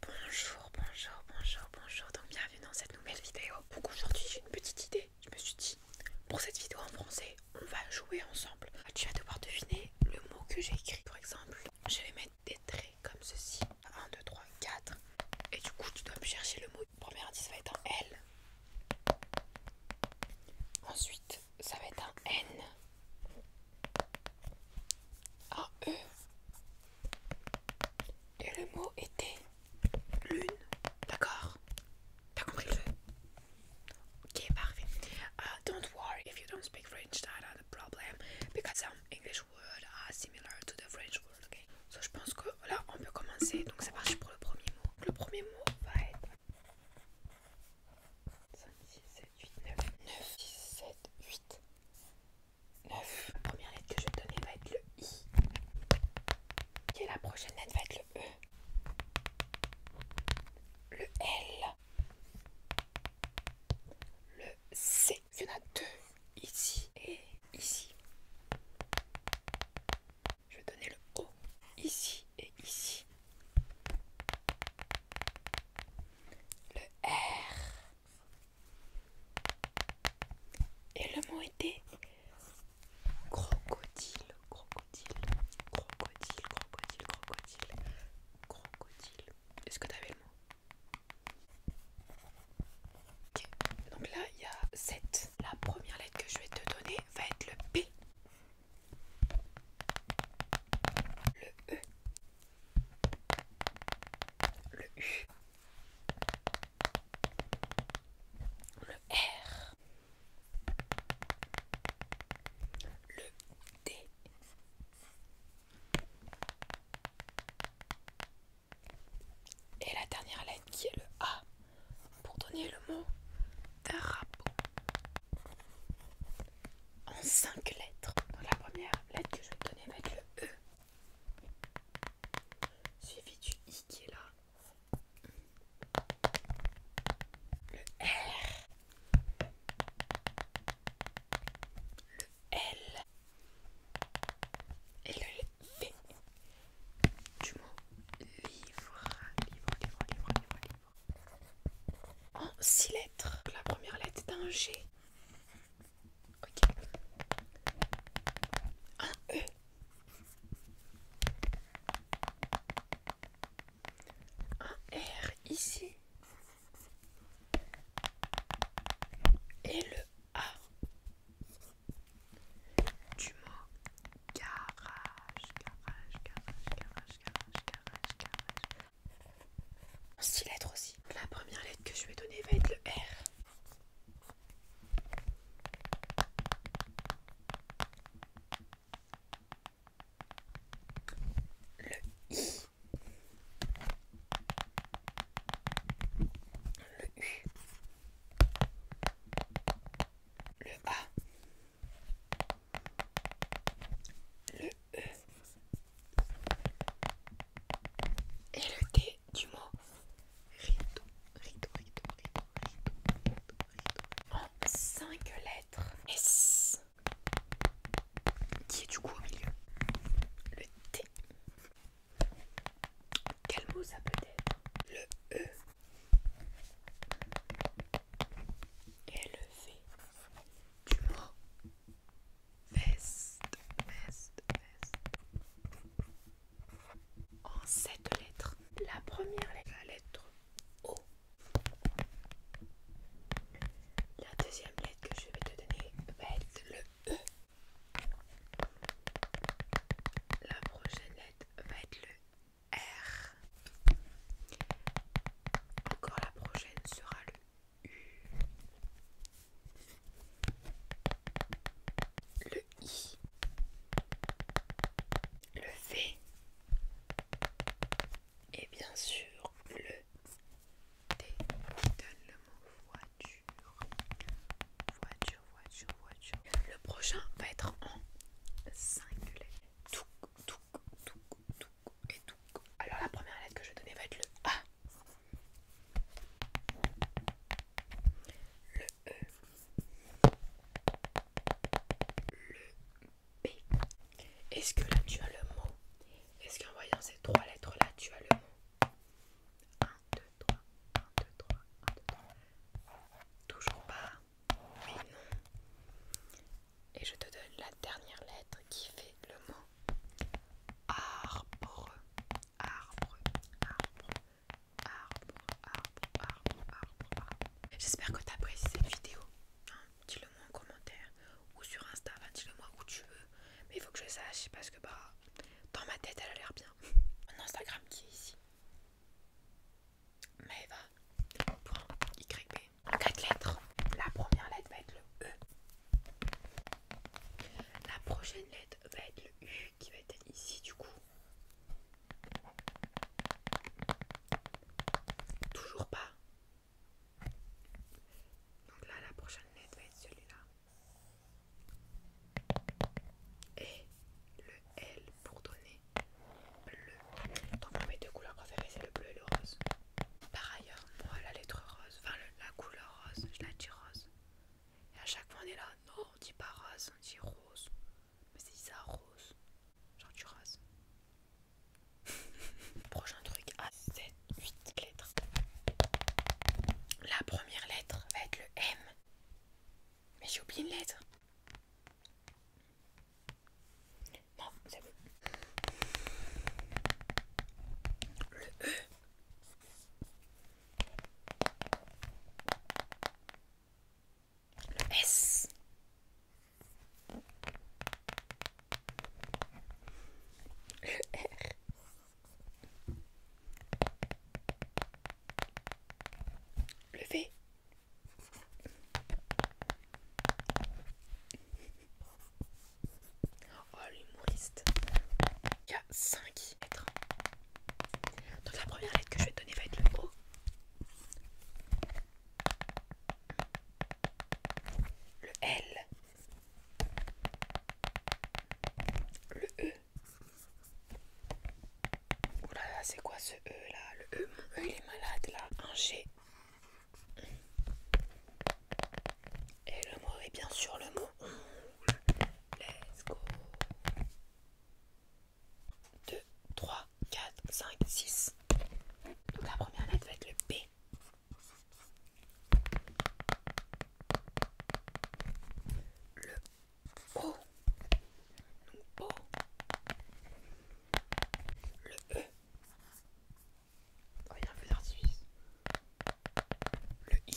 Bonjour, bonjour, bonjour, bonjour, donc bienvenue dans cette nouvelle vidéo. Donc aujourd'hui j'ai une petite idée, je me suis dit, pour cette vidéo en français, on va jouer ensemble. Ah, tu vas devoir deviner le mot que j'ai écrit. Par exemple, je vais mettre des traits comme ceci. 1, 2, 3, 4. Et du coup tu dois me chercher le mot. Le premier indice va être un L. Ensuite, ça va être un N. Un E. Et le mot était lune, d'accord T'as compris le jeu Ok, parfait. Uh, don't worry if you don't speak French, that's not a problem, because some English words are similar to the French word, ok so, Je pense que là, on peut commencer, donc c'est parti pour le premier mot. le premier mot va être... 5, 6, 7, 8, 9. 9, 6, 7, 8. 9. La première lettre que je vais donner va être le I. Et la prochaine lettre va être le E. Le L. Le C. Il y en a deux ici et ici. Je vais donner le O ici et ici. Le R. Et le mot était crocodile, crocodile, crocodile, crocodile, crocodile, crocodile. Est-ce que t'avais le mot donc là il y a 7. La première lettre que je vais te donner va être le P, le E, le U, le R, le D, et la dernière lettre qui est le A pour donner le mot drapeau en cinq lettres. la première lettre que je vais donner va être le E. Suivi du I qui est là. Le R. Le L. Et le V. Du mot livre. Livre, livre, livre, livre, livre. En six lettres. La première lettre est un G. Un E. Un R ici. Et le A du mot garage, garage, garage, garage, garage, garage, garage six lettres aussi. La première lettre que je vais donner va être le R. Le I. Le U. Le A. Le e. Et le T du mot rideau, rideau, rideau, rideau, rideau, En 5 lettres S qui est du coup au milieu. Le T. Quel mot ça peut être Le E. Et le V du mot en cette lettres. La première lettre, la lettre O. La deuxième lettre que je vais te donner va être le E. La prochaine lettre va être le R. Encore la prochaine sera le le I, le V et bien sûr le T donne le mot voiture. Voiture, voiture, voiture. Le prochain va être en singulier. Touk, touk, touk, touk et touk. Alors la première lettre que je vais donner va être le A le E, le b Est-ce que là tu as le mot Est-ce qu'en voyant ces trois lettres là tu as le mot 1, 2, 3, 1, 2, 3, 1, 2, 3. Toujours pas mais non. Et je te donne la dernière lettre qui fait le mot arbre arbre, arbre, arbre, arbre, arbre, arbre, arbre. J'espère que tu apprécié cette vidéo. Hein. dis-le moi en commentaire ou sur Insta, dis-le moi où tu veux. Mais il faut que je sache parce que bah dans ma tête elle a l'air bien. Mon Instagram qui est ici. Mais Point Y En quatre lettres. La première lettre va être le E. La prochaine lettre va être le U qui va être ici du coup. Toujours pas. Donc là, la prochaine lettre va être celui-là. Et le L pour donner bleu. Donc mes deux couleurs préférées, c'est le bleu et le rose. Par ailleurs, moi, la lettre rose, enfin la couleur rose, je la dis rose. Et à chaque fois on est là, non on dit pas rase, on dit rose. Mais c'est ça rose. Genre tu rases. Prochain truc a 7, 8 lettres. La première lettre va être le M. Mais j'ai oublié une lettre. Non, c'est bon. Le E. Le S. Le R. Le V. Oh l'humoriste Il y a 5 lettres. Donc la première lettre que je vais te donner va être le O. Le L. Le E. oulala oh c'est quoi ce E là Le E, mon E il est malade là. Un G. Et le mot est bien sûr le mot Let's go. 2, 3, 4, 5, 6. Donc la première lettre va être le P. Le O. Donc O. Le E. Oh, il y a un peu d'artifice le i, le u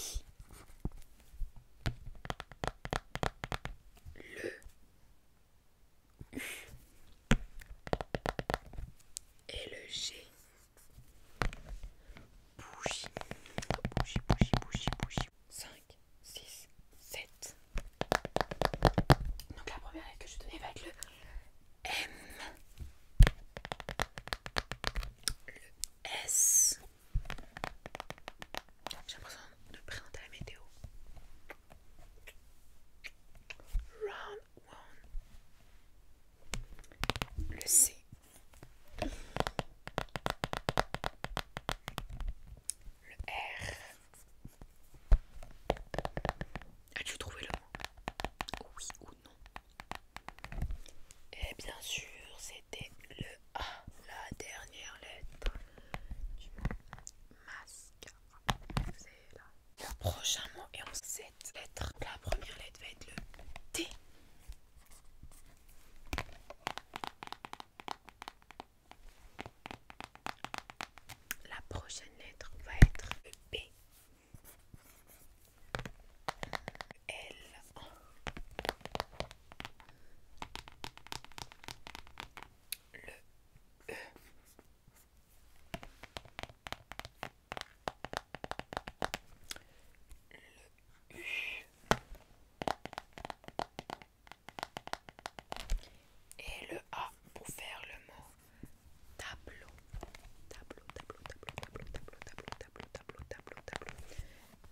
et le g. Bougie, bougie, bougie, bougie, bougie. 5, 6, 7. Donc la première lettre que je donner va être le M. S. J'ai besoin de présenter la météo. Round one. Le C. Le R. As-tu trouvé le mot Oui ou non et bien sûr, c'était le A, la dernière lettre du mot C'est là. prochain mot est en 7 lettres. La première lettre va être le T. La prochaine lettre va être le B. Le U. Et le A pour faire le mot tableau. Tableau, tableau, tableau, tableau, tableau, tableau tableau, tableau, tableau, tableau,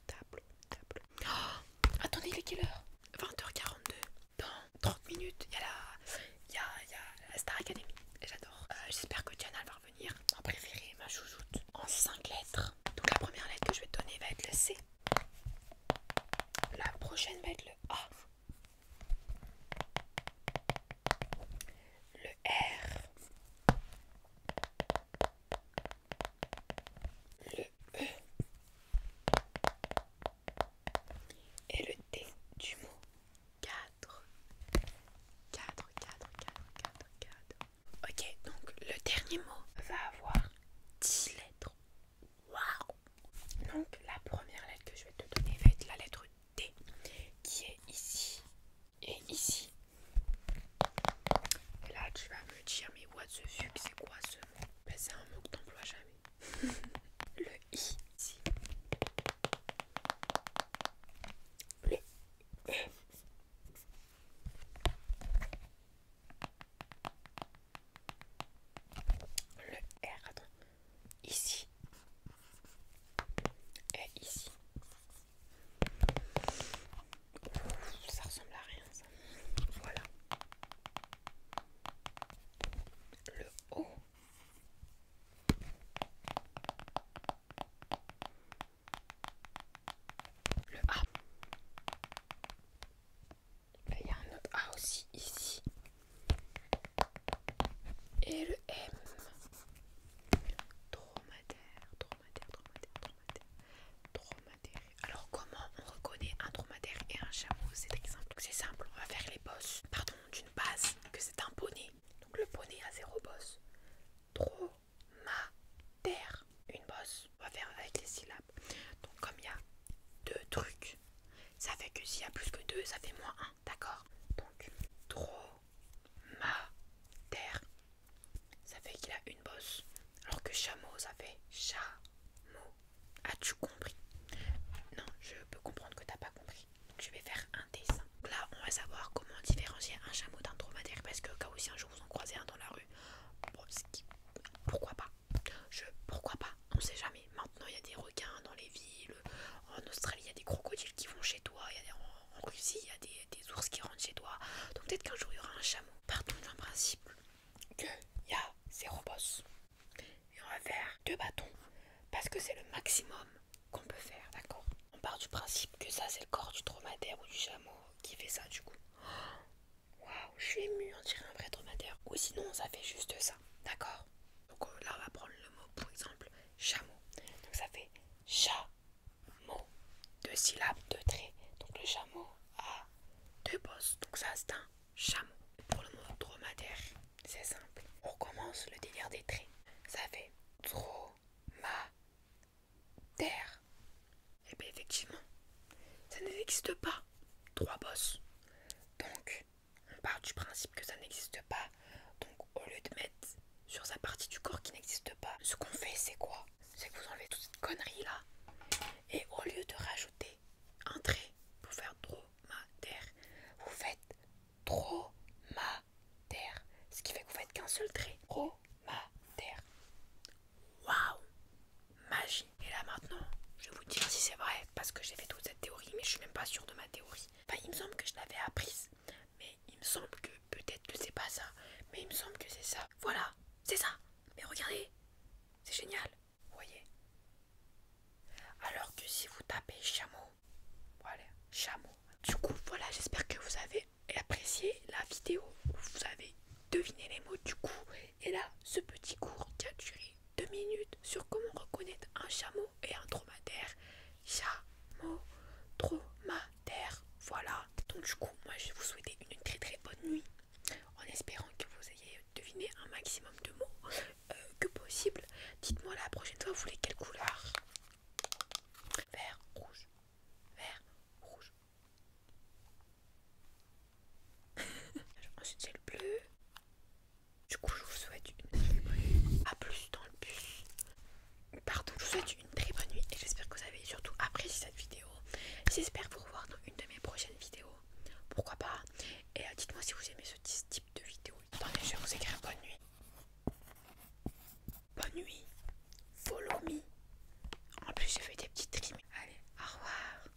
tableau, tableau. Oh, attendez, il est quelle heure 20h42. Dans 30 minutes, il y a la, Star Academy. J'adore. Euh, j'espère que Diana va revenir. Ma préférée, ma chouchoute. En 5 lettres. Donc la première lettre que je vais donner va être le C. La prochaine va être le A. Le R le E et le T du mot 4. 4, 4, 4, 4, 4. Ok, donc le dernier mot va avoir 10 lettres. Waouh! Donc la première lettre que je vais te donner va être la lettre T qui est ici et ici là, tu vas me dire, mais what the fuck, c'est quoi ce mot ben, C'est un mot que t'emploies jamais. le i ici. Le e. Le R, Ici. Et ici. Ça ressemble à rien ça. Voilà. Le haut. Le A. Ben, il y a un autre A aussi ici. Et le M. Traumataire. Alors comment on reconnaît un dromadaire et un chameau C'est très simple. C'est simple, on va faire les bosses, pardon, d'une base que c'est un poney. Donc le poney a zéro bosse. terre une bosse. On va faire avec les syllabes. Donc comme il y a deux trucs, ça fait que s'il y a plus que deux, ça fait moins un, d'accord Donc dro ma terre Ça fait qu'il a une bosse. Alors que chameau, ça fait chameau. As-tu compris Non, je peux comprendre que t'as pas compris. je vais faire un dessin. là, on va savoir comment différencier un chameau d'un dromadaire. Parce que cas où un jour vous en croisez un dans la rue, pourquoi pas Je pourquoi pas On sait jamais. Maintenant, il y a des requins dans les villes. En Australie, il y a des crocodiles qui vont chez toi en Russie, il y a des, ours qui rentrent chez toi. Donc peut-être qu'un jour il y aura un chameau. Partons d'un principe qu'il y a ces robots, Et on va faire deux bâtons. Parce que c'est le maximum qu'on peut faire, d'accord On part du principe que ça c'est le corps du dromadaire ou du chameau qui fait ça du coup. Waouh, je suis émue, en dirait un vrai dromadaire. Ou sinon ça fait juste ça, d'accord donc là on va prendre le mot pour exemple chameau. Donc ça fait chat mot, deux syllabes, deux traits. Donc le chameau a deux bosses, donc ça c'est un chameau. Pour le mot dromadaire, c'est simple. On recommence le délire des traits. Ça fait dromadaire. Et eh bien effectivement, ça n'existe pas. Trois bosses. Donc on part du principe que ça n'existe pas. Donc au lieu de mettre sur sa partie du corps qui n'existe pas, ce qu'on fait c'est quoi c'est que vous enlevez toute cette connerie là et au lieu de rajouter un trait pour faire DRO-MA-TERRE, vous faites DRO-MA-TERRE, ce qui fait que vous faites qu'un seul trait. DRO-MA-TERRE, WOW, magie. Et là maintenant, je vais vous dire si c'est vrai parce que j'ai fait toute cette théorie, mais je suis même pas sûre de ma théorie. il me semble que je l'avais apprise, mais il me semble que Peut-être que c'est pas ça, mais il me semble que c'est ça. Voilà, c'est ça. Mais regardez, c'est génial. Vous voyez Alors que si vous tapez chameau, voilà, chameau. Du coup, voilà, j'espère que vous avez apprécié la vidéo vous avez deviné les mots du coup. Et là, ce petit cours qui a duré deux minutes sur comment reconnaître un chameau et un dromadaire. Chameau, trauma, terre, voilà. Donc du coup, moi je vous souhaiter une très très bonne nuit, en espérant que vous ayez deviné un maximum de mots euh, que possible. Dites-moi la prochaine fois, vous voulez quelle couleur Vert, rouge, vert, rouge. Ensuite c'est le bleu. Du coup, je vous souhaite une très bonne nuit. à plus dans le bus partout je vous souhaite une très bonne nuit et j'espère que vous avez surtout apprécié cette vidéo. J'espère vous revoir dans une de mes prochaines vidéos. Pourquoi pas Et euh, dites-moi si vous aimez ce type de vidéo. Attendez, je vais vous écrire bonne nuit. Bonne nuit. Follow me. En plus, je fait des petites trims. Allez, au revoir.